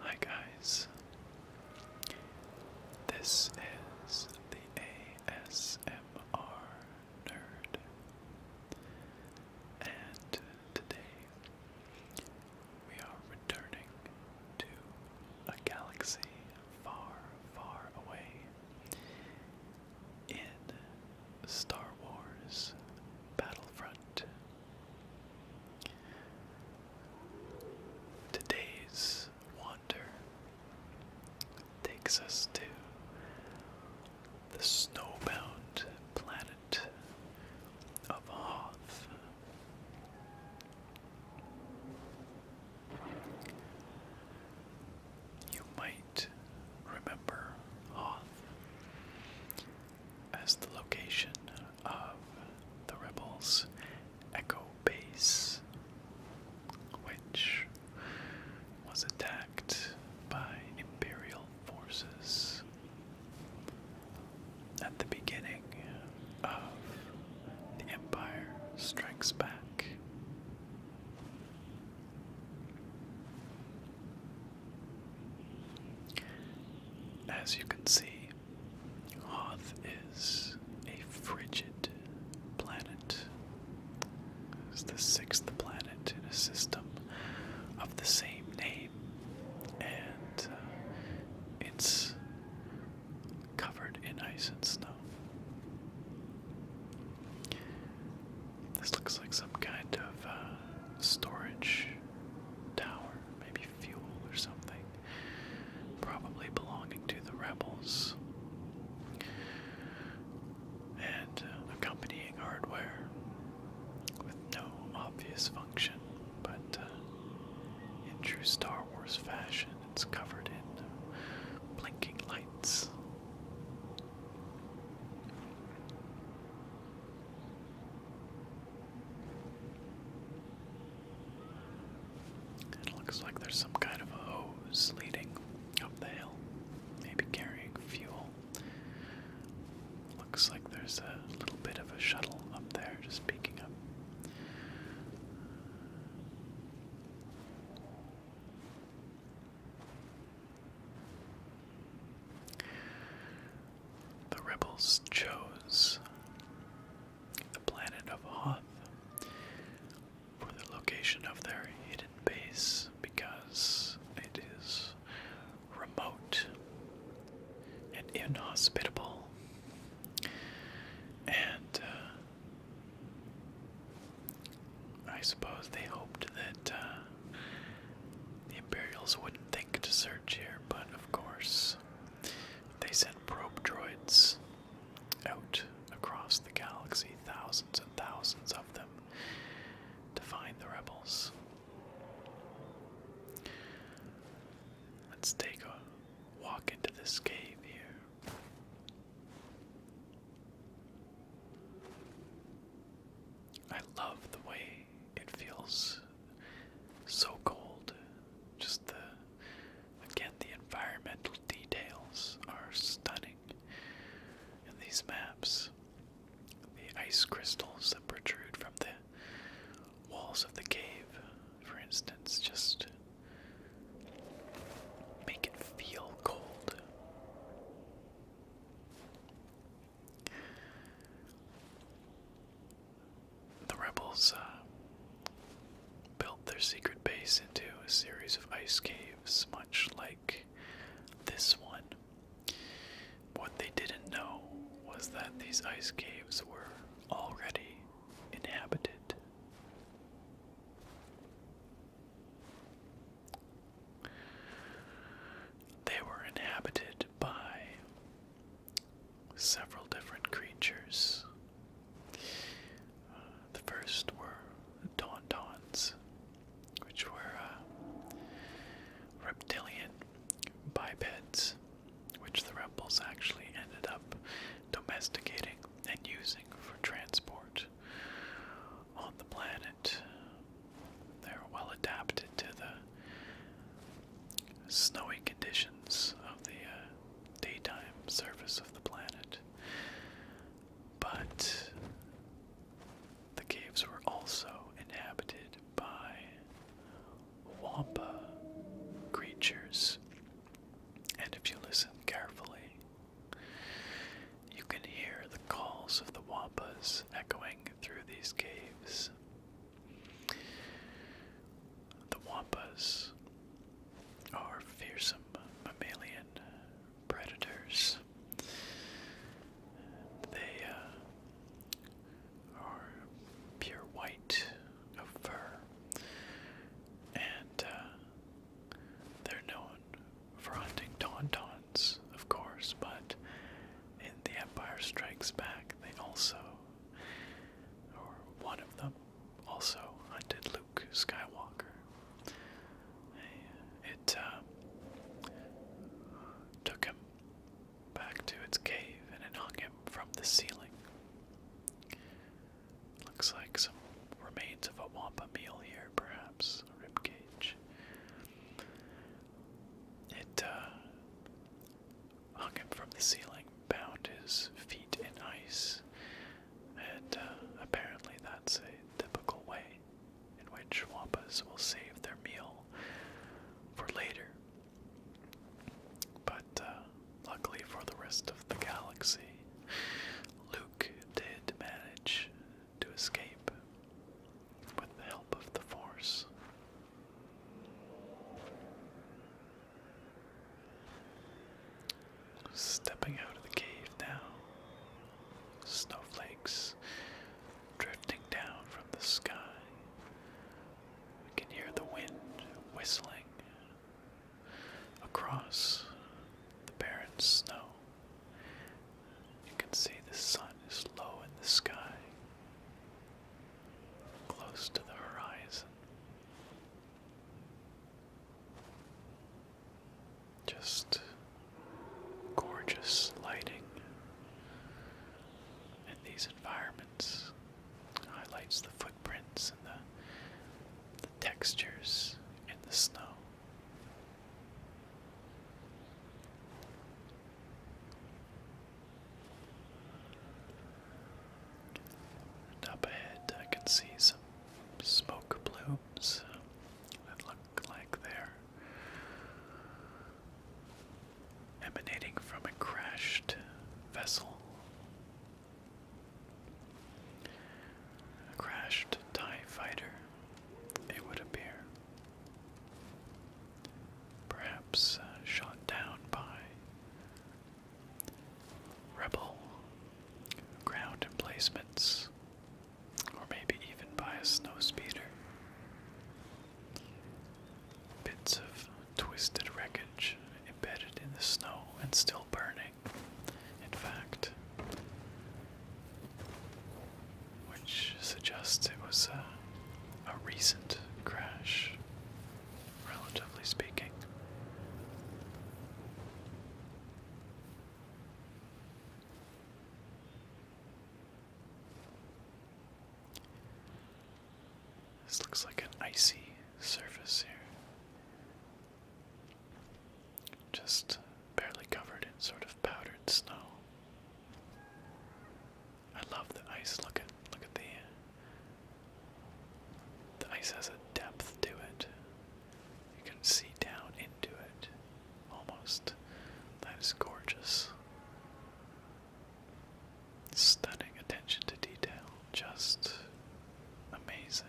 Hi guys. This is the ASMR nerd. And today we are returning to a galaxy far, far away. In Star Wars Battlefront. Today's wander takes us to the snowbound planet of Hoth. You might remember Hoth as the location of the Rebels' Echo Base, which was attacked by Imperial forces at the beginning of The Empire Strikes Back. As you can see, Hoth is a frigid planet it's the sixth planet in a system of the same name, and uh, it's covered in ice and snow. This looks like some kind of uh, storage tower, maybe fuel or something, probably belonging to the rebels and uh, accompanying hardware with no obvious function, but uh, in true Star Wars fashion, it's covered in uh, blinking lights. It looks like there's some kind of hose leading up the hill, maybe carrying fuel. Looks like there's a little bit of a shuttle up there just peeking up. The rebels chose the planet of Hoth for the location of their hidden base because it is remote and inhospitable and uh, I suppose they hoped that uh, the Imperials wouldn't think to search here, but of course they sent probe droids out across the galaxy, thousands and thousands of them, to find the rebels. Let's take a walk into this cave here. I love the way it feels so cold. Just the again the environmental details are stunning these maps. The ice crystals that protrude from the walls of the cave, for instance, just make it feel cold. The rebels uh, built their secret base into a series of ice caves caves, much like this one. What they didn't know was that these ice caves were already inhabited. They were inhabited by several different creatures the first were Tauntauns, which were uh, reptilian bipeds, which the rebels actually ended up domesticating and using for transport on the planet. They're well adapted to the snowy conditions of the uh, daytime surface of the planet. But the caves were also inhabited by wampa creatures. And if you listen carefully, you can hear the calls of the wampas echoing through these caves. The wampas are fearsome mammalian predators. They uh, are pure white of fur, and uh, they're known for hunting tauntauns, of course, but in The Empire Strikes Back, they also, or one of them, also hunted Luke Skywalker. It uh, took him back to its cave and it hung him from the ceiling. Looks like some remains of a wampa meal here, perhaps, a ribcage. It uh, hung him from the ceiling, bound his feet in ice, and uh, apparently that's a typical way in which wampas will save their meal for later. But uh, luckily for the rest of the galaxy, Luke did manage to escape with the help of the Force. Stepping out of the cave now, snowflakes drifting down from the sky. We can hear the wind whistling across the barren snow. You can see the sun is low in the sky, close to the horizon. Just gorgeous lighting in these environments highlights the footprints and the, the textures in the snow up ahead, I can see some smoke blooms that look like they're emanating from a crashed vessel. A crashed TIE fighter, it would appear. Perhaps uh, shot down by Rebel, ground emplacements, or maybe even by a snowspeeder. Bits of twisted wreckage embedded in the snow and still burning, in fact, which suggests it was a, a recent crash relatively speaking. This looks like an icy surface here. Just barely covered in sort of powdered snow. I love the ice. Look at look at the the ice has a depth to it. You can see down into it almost. That is gorgeous. Stunning attention to detail. Just amazing.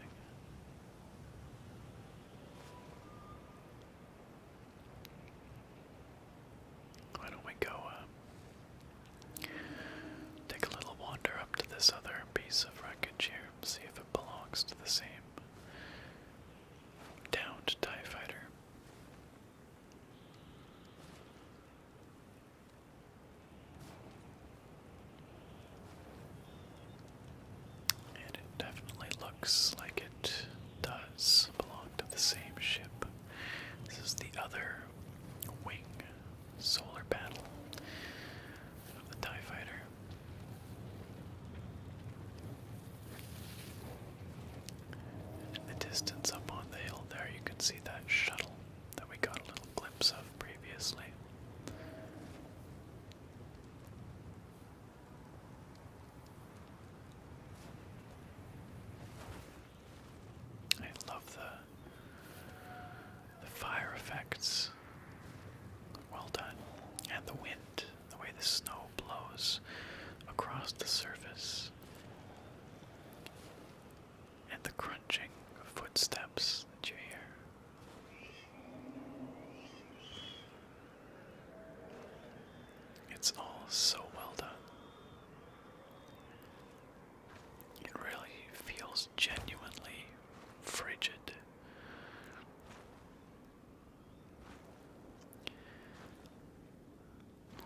Why don't we go uh, take a little wander up to this other piece of wreckage here, see if it belongs to the same downed TIE fighter. And it definitely looks like it does belong of the same ship. This is the other wing solar battle of the TIE fighter. In the distance up on the hill there, you can see that shuttle that we got a little glimpse of previously. I love the the fire effects. Well done. And the wind, the way the snow blows across the surface. And the crunching footsteps that you hear. It's all so well done. It really feels genuinely frigid.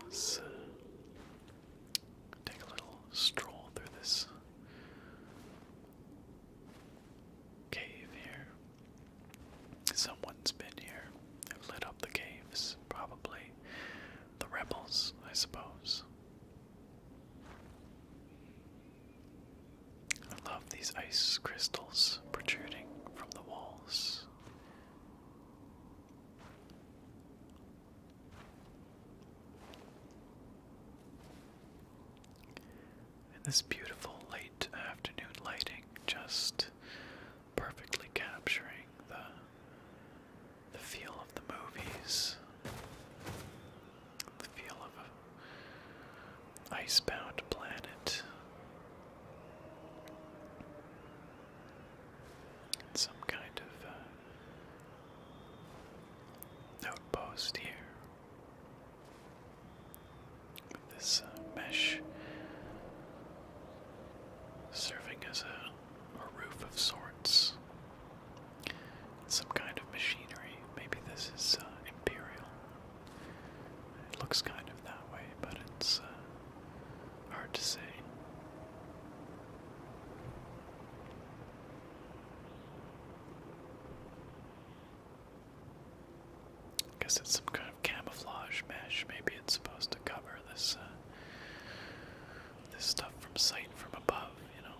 Let's uh, take a little stroll through this cave here. Someone's been here and lit up the caves probably the rebels, I suppose. I love these ice crystals protruding from the walls. And this beautiful late afternoon lighting just perfectly capturing the the feel of the movies, the feel of a icebound planet. Some kind of uh, outpost here. This uh, mesh serving as a, roof of sorts. Some kind of machinery. Maybe this is uh, imperial. It looks kind of that way, but it's uh, hard to say. I guess it's some kind of camouflage mesh. Maybe it's supposed to cover this uh, this stuff from sight from above, you know.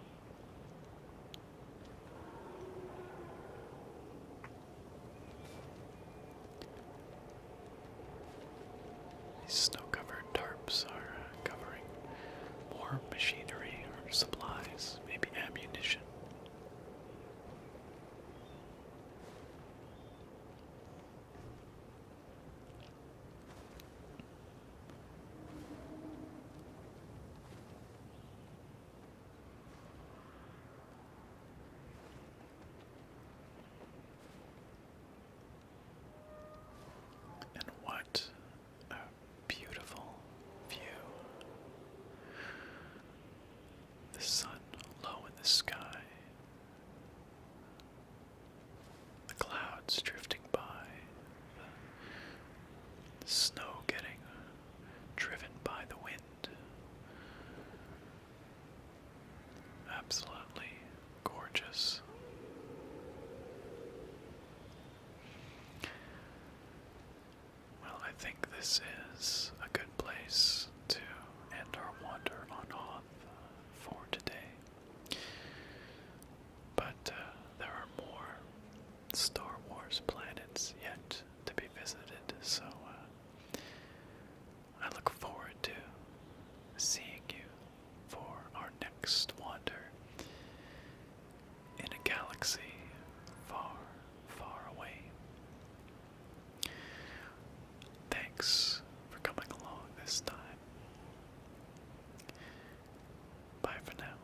These snow-covered tarps are uh, covering more machinery or supplies, maybe ammunition. And what a beautiful view the sun low in the sky, the clouds drifting by, the snow getting driven by the wind. Absolutely gorgeous. Well, I think this is a good place to end our wander on Hoth uh, for today. But uh, there are more Star Wars planets yet to be visited, so uh, I look forward to seeing you for our next wander in a galaxy far, far away. Thanks for coming along this time. Bye for now.